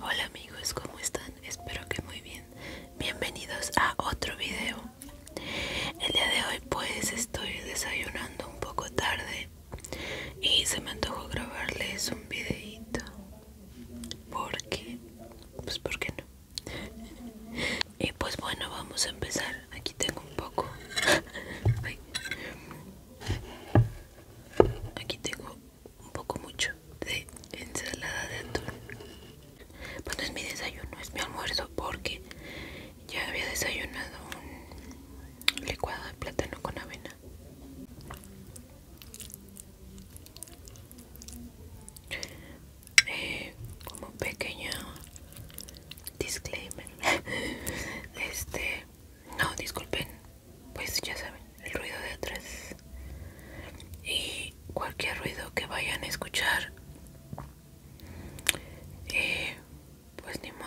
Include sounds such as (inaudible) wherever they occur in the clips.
Hola amigos, ¿cómo están? Espero que muy bien. Bienvenidos a otro video. El día de hoy pues estoy desayunando un poco tarde y se me antojó grabarles un videito. ¿Por qué? Pues porque no? Y pues bueno, vamos a empezar. Aquí tengo un poco. (laughs) Aquí tengo un poco mucho de ensalada de atún. Bueno, es mi desayuno, es mi almuerzo porque ya había desayunado un licuado de plátano con avena. Eh, como pequeño disclaimer, (laughs) este no, disculpen, pues ya saben, el ruido de atrás. Y cualquier ruido que vayan a escuchar, eh, pues ni modo.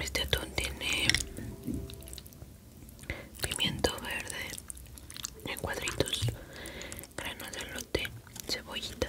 Este atún tiene pimiento verde en cuadritos, granos de lote, cebollita.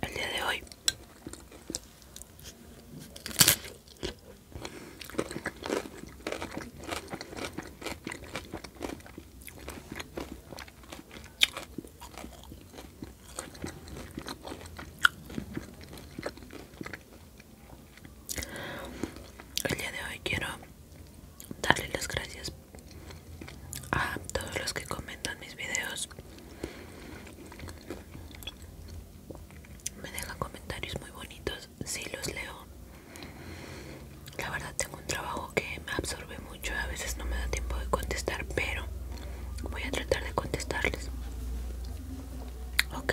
El día de hoy el día de hoy quiero darle las gracias a todos los que comentan mis videos me dejan comentarios muy bonitos si los leo la verdad tengo un trabajo que me absorbe mucho a veces no me da tiempo de contestar pero voy a tratar de contestarles ok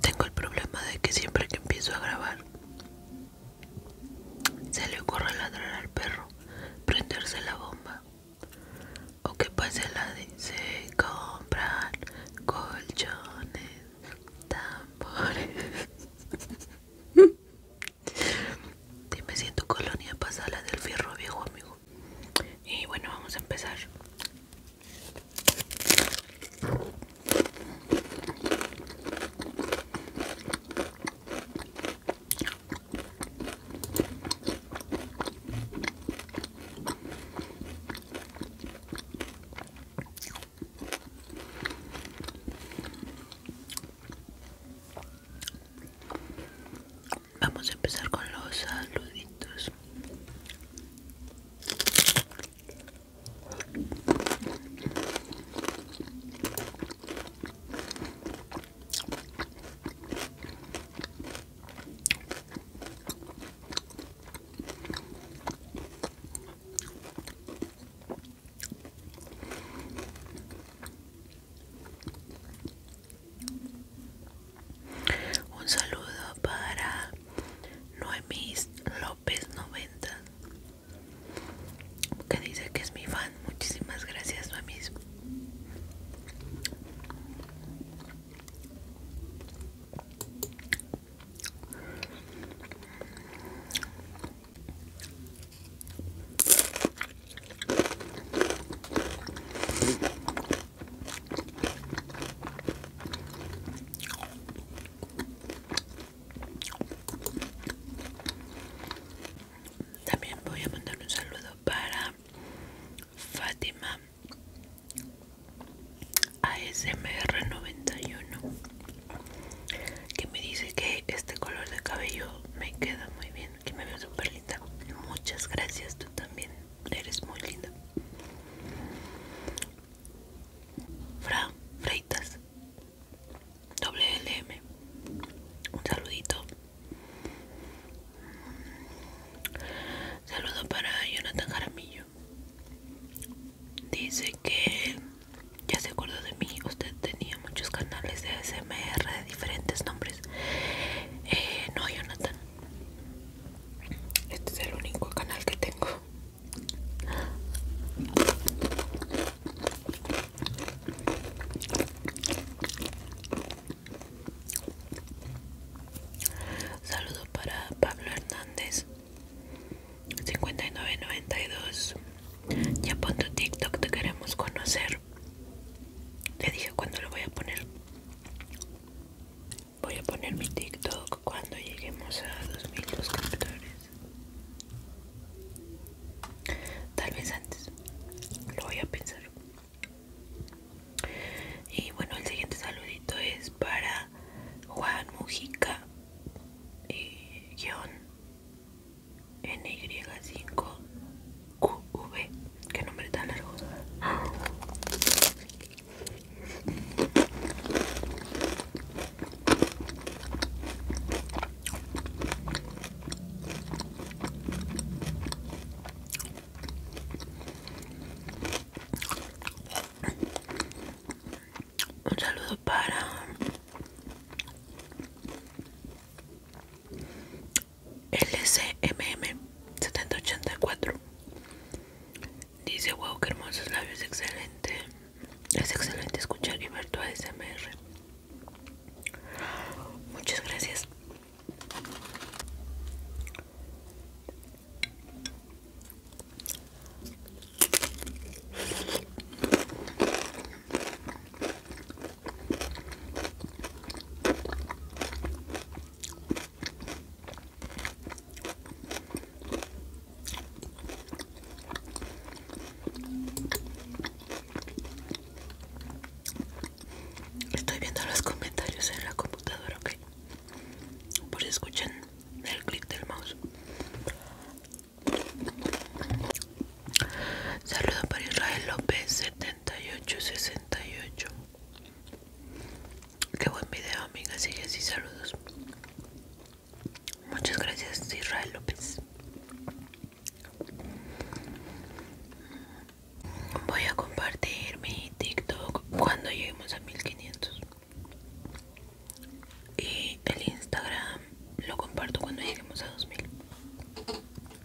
Tengo el problema de que siempre que empiezo a grabar se le ocurre ladrar al perro, prenderse la bomba o que pase la de se compran colchones, tambores. Dime si en tu colonia pasa la del fierro viejo, amigo y bueno vamos a empezar Vamos a empezar con los saluditos. Un saludo para Noemis López 90 que dice que es mi fan. Muchísimas gracias, Noemis. También voy a mandar un saludo para Fátima ASMR91 que me dice que este color de cabello me queda muy bien, que me veo súper linda. Muchas gracias, tú también. Eres muy linda. Fra Freitas. WLM. Un saludito. Saludo para Jonathan Jaramillo. Dice que ya se acordó de mí. Usted tenía muchos canales de SMR de diferentes nombres. Eh, no, Jonathan. Este es el único canal que tengo. Saludo para Pablo Hernández 5992. Ya pon tu TikTok, te queremos conocer ya dije cuándo lo voy a poner. Voy a poner mi TikTok cuando lleguemos a 2000 suscriptores. Tal vez antes. Lo voy a pensar. Y bueno, el siguiente saludito es para Juan Mujica eh, y guión NY5 QV. Qué nombre tan largo. Un saludo para LCMM 7084 dice wow que hermosos labios excelente es excelente escuchar y ver tu ASMR muchas gracias Estoy viendo los comentarios en la computadora, ok. Por si escuchan el clic del mouse. Saludos para Israel López 7868. Qué buen video, amiga. y así, saludos. Muchas gracias, Israel López. Voy a compartir mi TikTok cuando lleguemos a 1500. Y el Instagram lo comparto cuando lleguemos a 2000.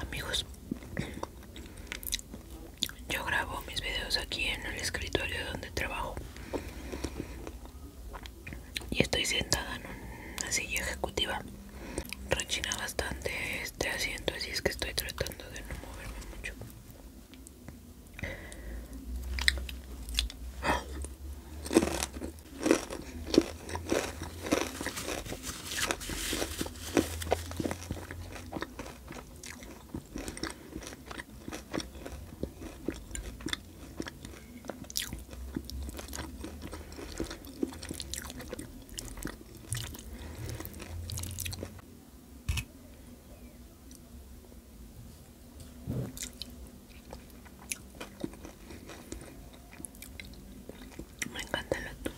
Amigos, yo grabo mis videos aquí en el escritorio donde trabajo y estoy sentada en una silla ejecutiva rechina bastante este asiento así es que estoy tratando de no moverme mucho me encanta el atún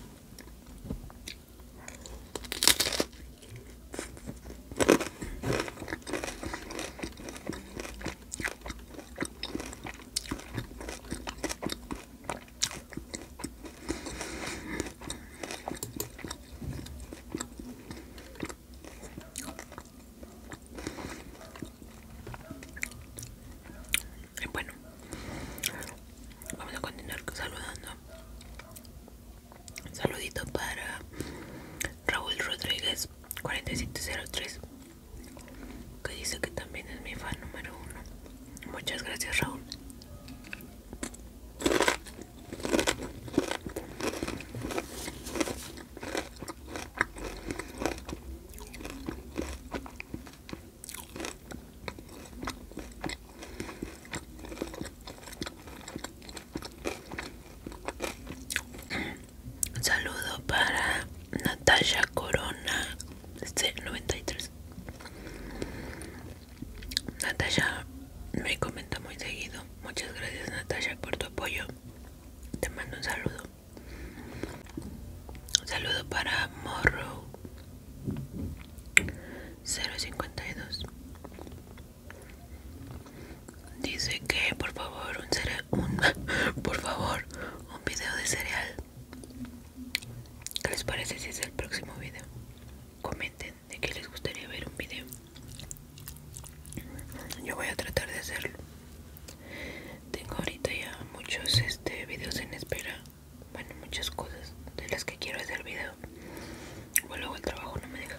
bueno, vamos a continuar saludando. Saludito para Raúl Rodríguez 4703 que dice que también es mi fan número uno. Muchas gracias, Raúl. Un saludo para Natalia Corona este 93 Natalia me comenta muy seguido. Muchas gracias Natalia por tu apoyo. Te mando un saludo. Un saludo para Morro 052. Dice que por favor un, ser un (laughs) por favor un video de cereal. ¿Qué les parece si es el próximo video? Comenten de qué les gustaría ver un video. Yo voy a tratar de hacerlo. Tengo ahorita ya muchos este, videos en espera. Bueno, muchas cosas de las que quiero hacer video. O luego el trabajo no me deja.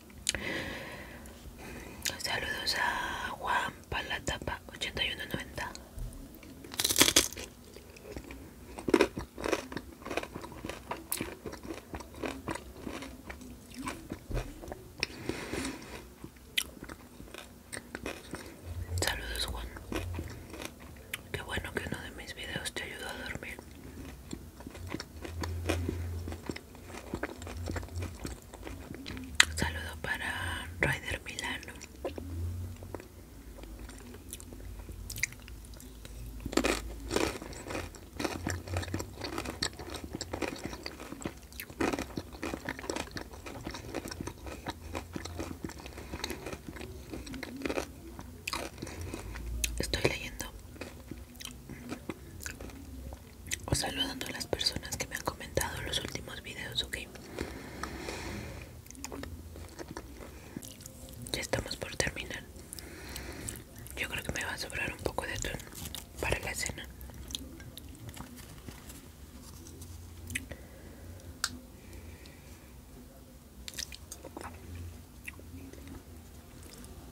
Saludos a Juan Palatapa 8190. Saludos Juan. Qué bueno que uno de mis videos te ayudó a dormir saludo para Rider Milano Estoy leyendo o saludando a las personas que me han comentado los últimos videos, ok. Ya estamos por terminar. Yo creo que me va a sobrar un poco de tono para la cena.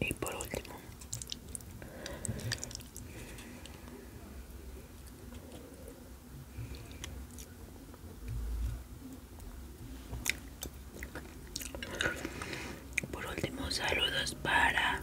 Y por último, por último, saludos para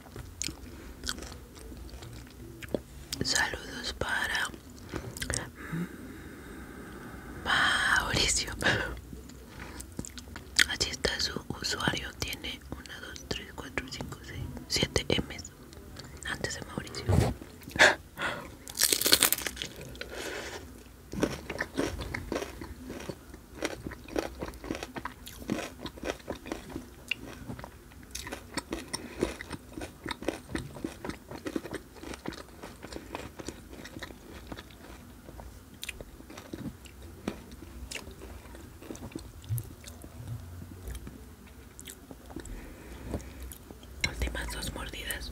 Saludos para Mauricio. (laughs) Así está su usuario. Tiene 1, 2, 3, 4, 5, 6, 7 M. Antes de Mauricio. (laughs) Últimas dos mordidas.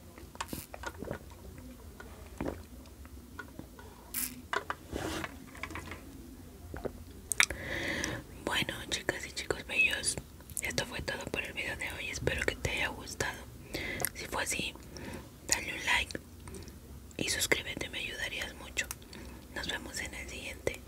Bueno chicas y chicos bellos Esto fue todo por el video de hoy Espero que te haya gustado Si fue así Dale un like Y suscríbete me ayudarías mucho Nos vemos en el siguiente